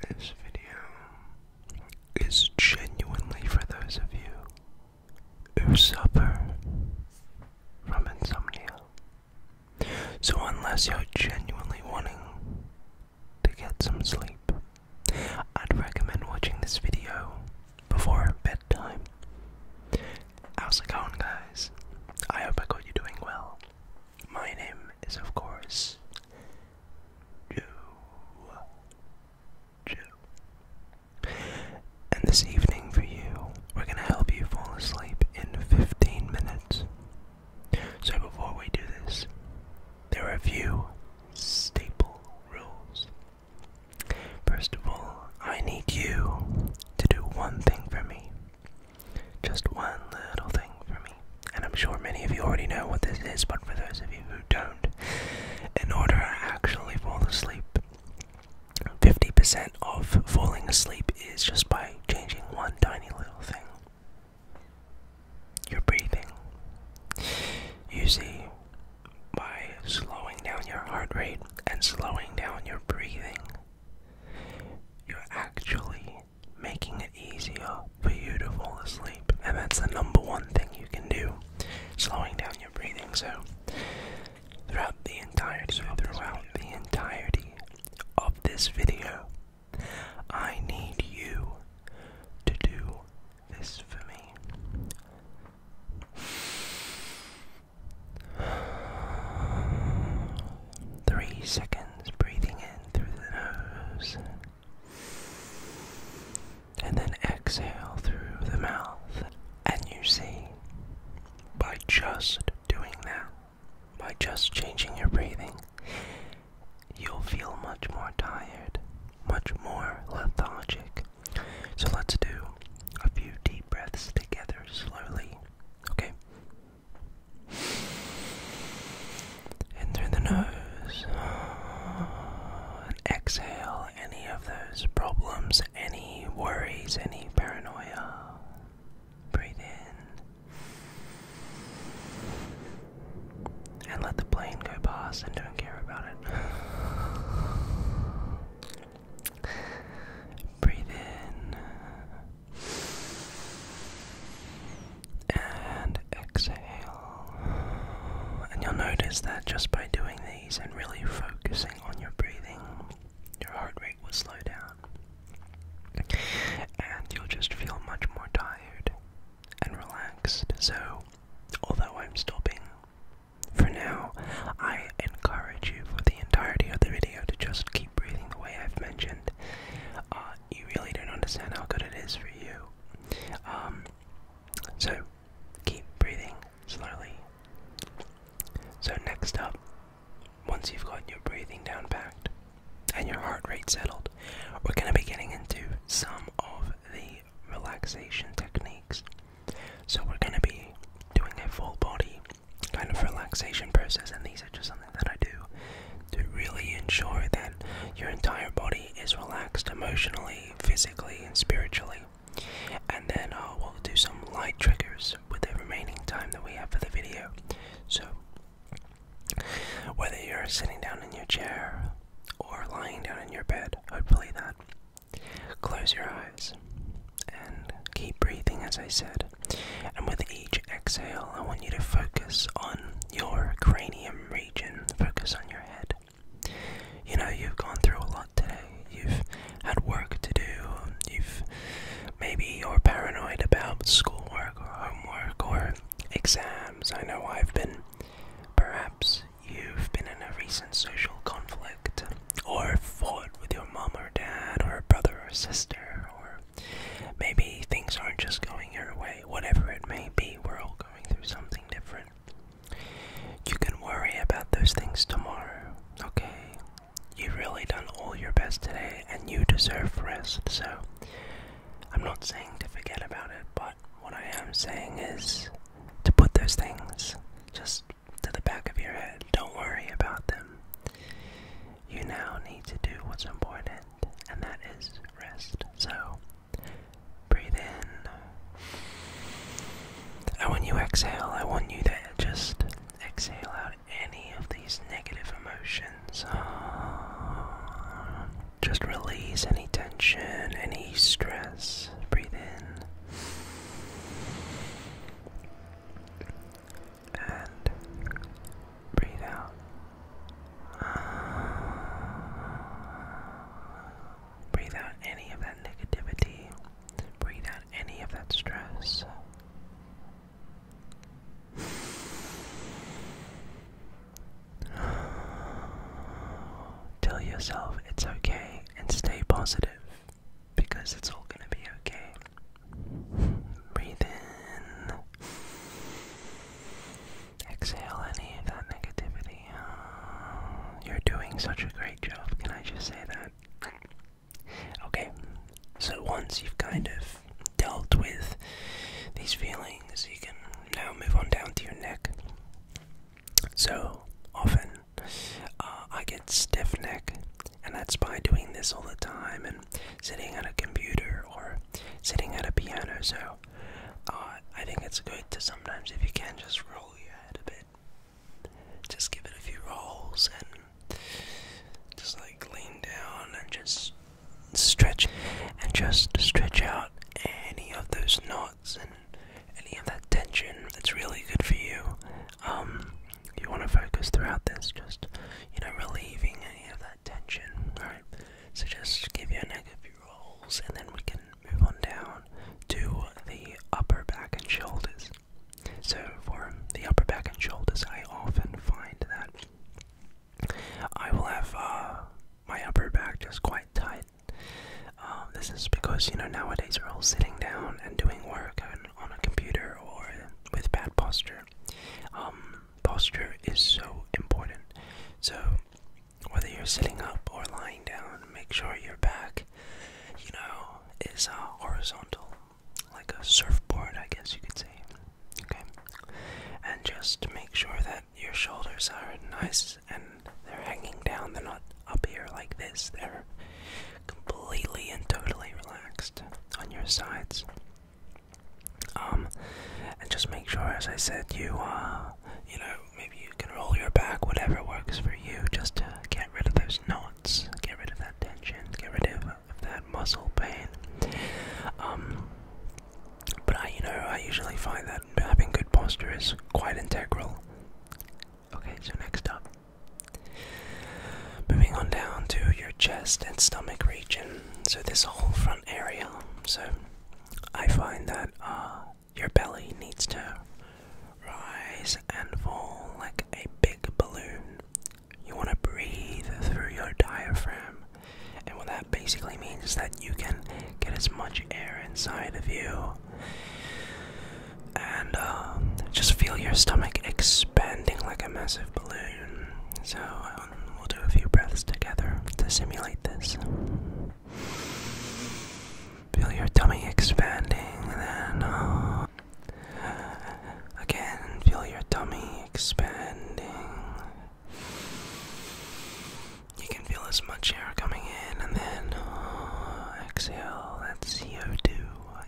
This video is genuinely for those of you who suffer from insomnia. So, unless you're genuinely wanting to get some sleep, I'd recommend watching this video before bedtime. How's it going, guys? I hope I got you doing well. My name is, of course, Joe. Joe. And this evening for you, we're gonna help you fall asleep in 15 minutes. So before we do this, there are a few staple rules. First of all, I need you to do one thing for me. Just one little thing for me, and I'm sure many of you already know what this is, but for those of you who don't, in order to actually fall asleep, 50% of falling asleep is just by changing one tiny little thing your breathing. You see, by slowing down your heart rate and slowing down your breathing, you're actually making it easier for you to fall asleep, and that's the number one thing you can do slowing down your breathing. So, throughout the entirety, of this video, I need you to do this for me. Three seconds breathing in through the nose. And then exhale through the mouth. And you see, by just doing that, by just changing your breathing, you'll feel much more tired, much more lethargic. So let's do a few deep breaths together slowly. Okay. In through the nose. And exhale any of those problems, any worries, any paranoia. Breathe in. And let the plane go past and don't care about it. Breathe in and exhale. And you'll notice that just by doing these and really focusing on your breathing, your heart rate will slow down. And you'll just feel much more tired and relaxed. So, although I'm stopping for now, I encourage you for the entirety of the video to just keep breathing the way I've mentioned. Uh, you really don't understand how good it is for you. Um, so, keep breathing slowly. So, next up, once you've got your breathing down packed and your heart rate settled, we're going to be getting into some of the relaxation techniques. So, we're going to be doing a full body kind of relaxation process, and these are just something that I do to really ensure that your entire body is relaxed emotionally, physically, and spiritually. And then uh, we'll do some light triggers with the remaining time that we have for the video. So, whether you're sitting down in your chair or lying down in your bed, hopefully that Close your eyes and keep breathing, as I said. And with each exhale, I want you to focus on your cranium region, focus on your head. You know, you've gone through a lot today. You've had work to do. You've maybe you're paranoid about schoolwork or homework or exams. I know I've been. Perhaps you've been in a recent social conflict or fought with your mom or dad or brother or sister or maybe things aren't just going your way whatever it may be we're all going through something different you can worry about those things tomorrow okay you've really done all your best today and you deserve rest so i'm not saying to forget about it but what i am saying is to put those things just to the back of your head. Don't worry about them. You now need to do what's important, and that is rest. So, breathe in. And when you exhale, I want you to just exhale out any of these negative emotions. Just release any tension, any stress. Breathe in and breathe out. Breathe out any of that negativity. Breathe out any of that stress. Tell yourself it's okay and stay positive because it's all gonna be okay. Breathe in. Exhale any of that negativity. you're doing such a great job, can I just say that? Okay, so once you've kind of dealt with these feelings, you can now move on down to your neck. So often, uh, I get stiff neck, and that's by doing this all the time and sitting at a computer or sitting at a piano. So uh, I think it's good to sometimes, if you can, just roll your head a bit, just give it a few rolls, and just like lean down and just stretch and just stretch out any of those knots and any of that tension, it's really good for you. Um, you want to focus throughout this, just you know, relieving any of that tension. All right. So just give you a neck a few rolls, and then we can move on down to the upper back and shoulders. So for the upper back and shoulders, I often find that I will have uh, my upper back just quite tight. Um, this is because, you know, nowadays we're all sitting down and doing work on, a computer or with bad posture. Um, posture is so important. So, whether you're sitting up or lying down, make sure your back, you know, is uh, horizontal, like a surfboard, I guess you could say. Okay? And just make sure that your shoulders are nice and they're hanging down, they're not up here like this, they're completely and totally relaxed on your sides. Um, and just make sure, as I said, you uh, you know, maybe you can roll your back, whatever works for you, just to get rid of those knots, get rid of that tension, get rid of, of that muscle pain. Um, but I, you know, I usually find that having good posture is quite integral. Okay, so next up, Moving on down to your chest and stomach region. So, this whole front area. So, I find that uh, your belly needs to rise and fall like a big balloon. You want to breathe through your diaphragm. And what that basically means is that you can get as much air inside of you and uh, just feel your stomach expanding like a massive balloon. So um, we'll do a few breaths together to simulate this. Feel your tummy expanding, and then uh, again, feel your tummy expanding. You can feel as much air coming in, and then uh, exhale that CO2,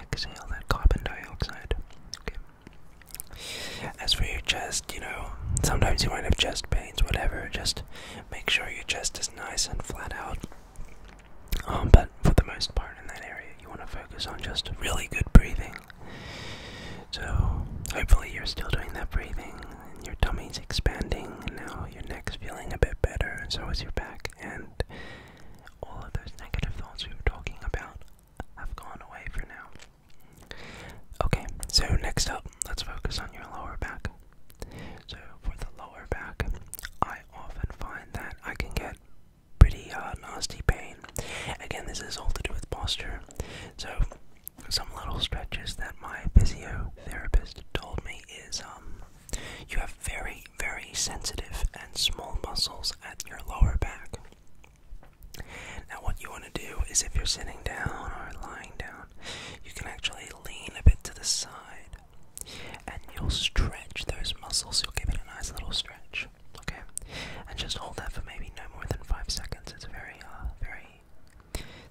exhale that carbon dioxide. Okay. As for your chest, you know, sometimes you might have chest pains, whatever, just make sure your chest is nice and flat out. Um, but for the most part in that area, you want to focus on just really good breathing. So, hopefully, you're still doing that breathing, and your tummy's expanding, and now your neck's feeling a bit better, and so is your back and all of those negative thoughts we were talking about have gone away for now. Okay, so next up, let's focus on your lower back. So for the lower back, I often find that I can get pretty uh, nasty pain. Again, this is all to do with posture. So some little stretches that my physiotherapist told me is um you have very, very sensitive and small muscles at your lower back. Now, what you want to do is if you're sitting down or lying down, you can actually lean a bit to the side and you'll stretch those muscles. You'll give it a nice little stretch, okay? And just hold that for maybe no more than five seconds. It's a very, uh, very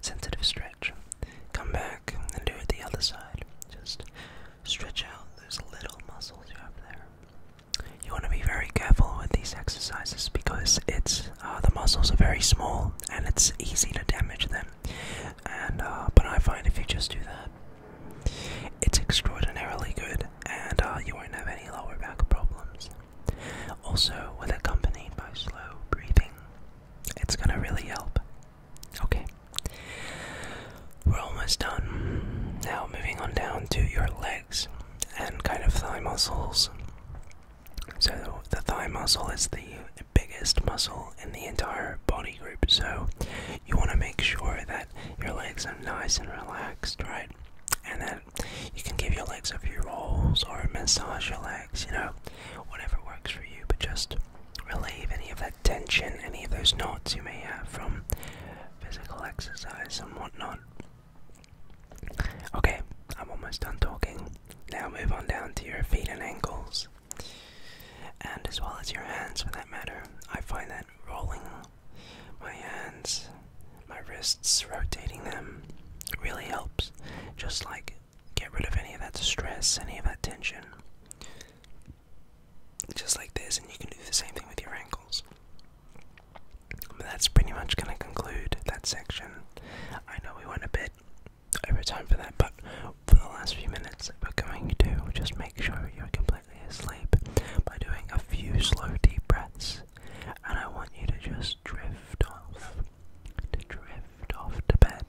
sensitive stretch. Come back and do it the other side. Just stretch out those little muscles you have there. You want to be very careful with these exercises because it's uh, the muscles are very small and it's easy to damage them. And uh, but I find if you just do that, it's extraordinarily good, and uh, you won't have any lower back problems. Also, with accompanied by slow breathing, it's gonna really help Okay. We're almost done. Now, moving on down to your legs and kind of thigh muscles. So, the thigh muscle is the biggest muscle in the entire body group, so you want to make sure that your legs are nice and relaxed, right? And that you can give your legs a few rolls or massage your legs, you know, whatever works for you, but just relieve any of that tension, any of those knots you may have from physical exercise and whatnot. Okay, I'm almost done talking. Now move on down to your feet and ankles, and as well as your hands for that matter. I find that rolling my hands, my wrists, rotating them really helps, just like Get rid of any of that stress, any of that tension. Just like this, and you can do the same thing with your ankles. that's pretty much going to conclude that section. I know we went a bit over time for that, but for the last few minutes, we're going to just make sure you're completely asleep by doing a few slow deep breaths. And I want you to just drift off, to drift drift off to bed.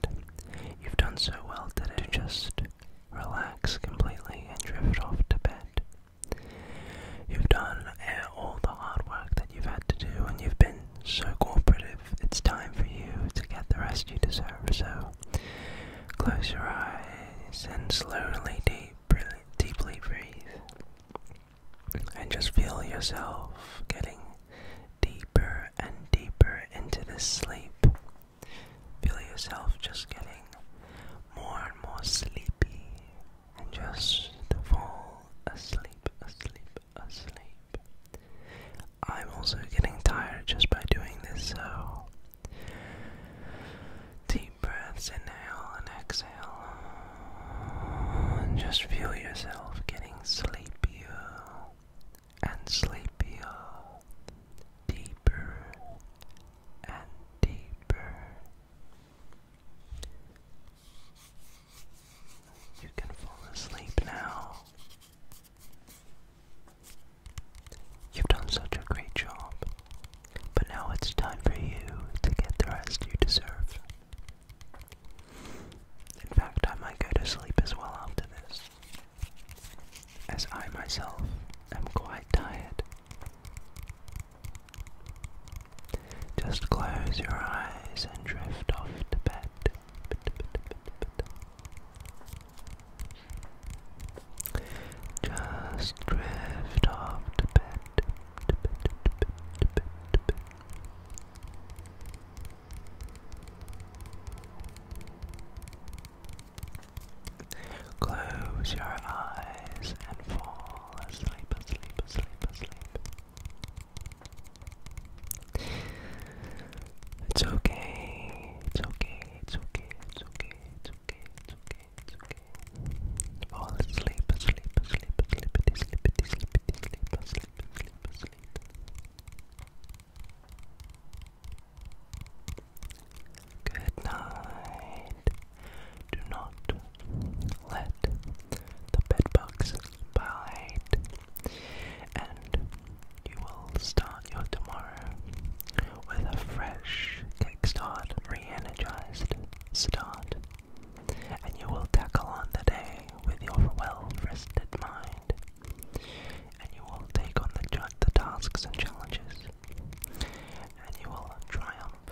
You've done so well today to just relax completely and drift off to bed. You've done uh, all the hard work that you've had to do, and you've been so cooperative. It's time for you to get the rest you deserve. So close your eyes and slowly, deep, deeply breathe, and just feel yourself getting deeper and deeper into the sleep. Feel yourself just getting more and more sleepy and just fall asleep, asleep, asleep. I'm also getting tired just by doing this, so deep breaths, inhale and exhale. And just feel yourself getting sleepier and sleepier, deeper and deeper. You can fall asleep now. You've done such a great job, but now it's time for you to get the rest you deserve. In fact, I might go to sleep as well after this as I myself am quite tired. Just close your eyes and drift off to bed. Just drift off to bed. Close your eyes and fall asleep, asleep, asleep, asleep. It's okay, it's okay, it's okay, it's okay, it's okay, it's okay, it's okay. Fall asleep, asleep, asleep, asleep, sleepity, sleepity, sleepity, sleep, asleep, asleep, asleep. Good night. Do not let the bedbugs bite, and you will start your tomorrow with a fresh kickstart, re start, and you will tackle on the day with your well-rested mind and you will take on the, tasks and challenges, and you will triumph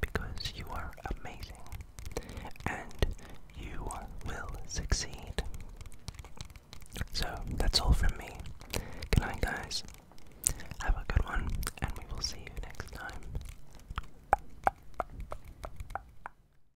because you are amazing and you will succeed. So that's all from me. Good night, guys. Have a good one, and we will see you next time.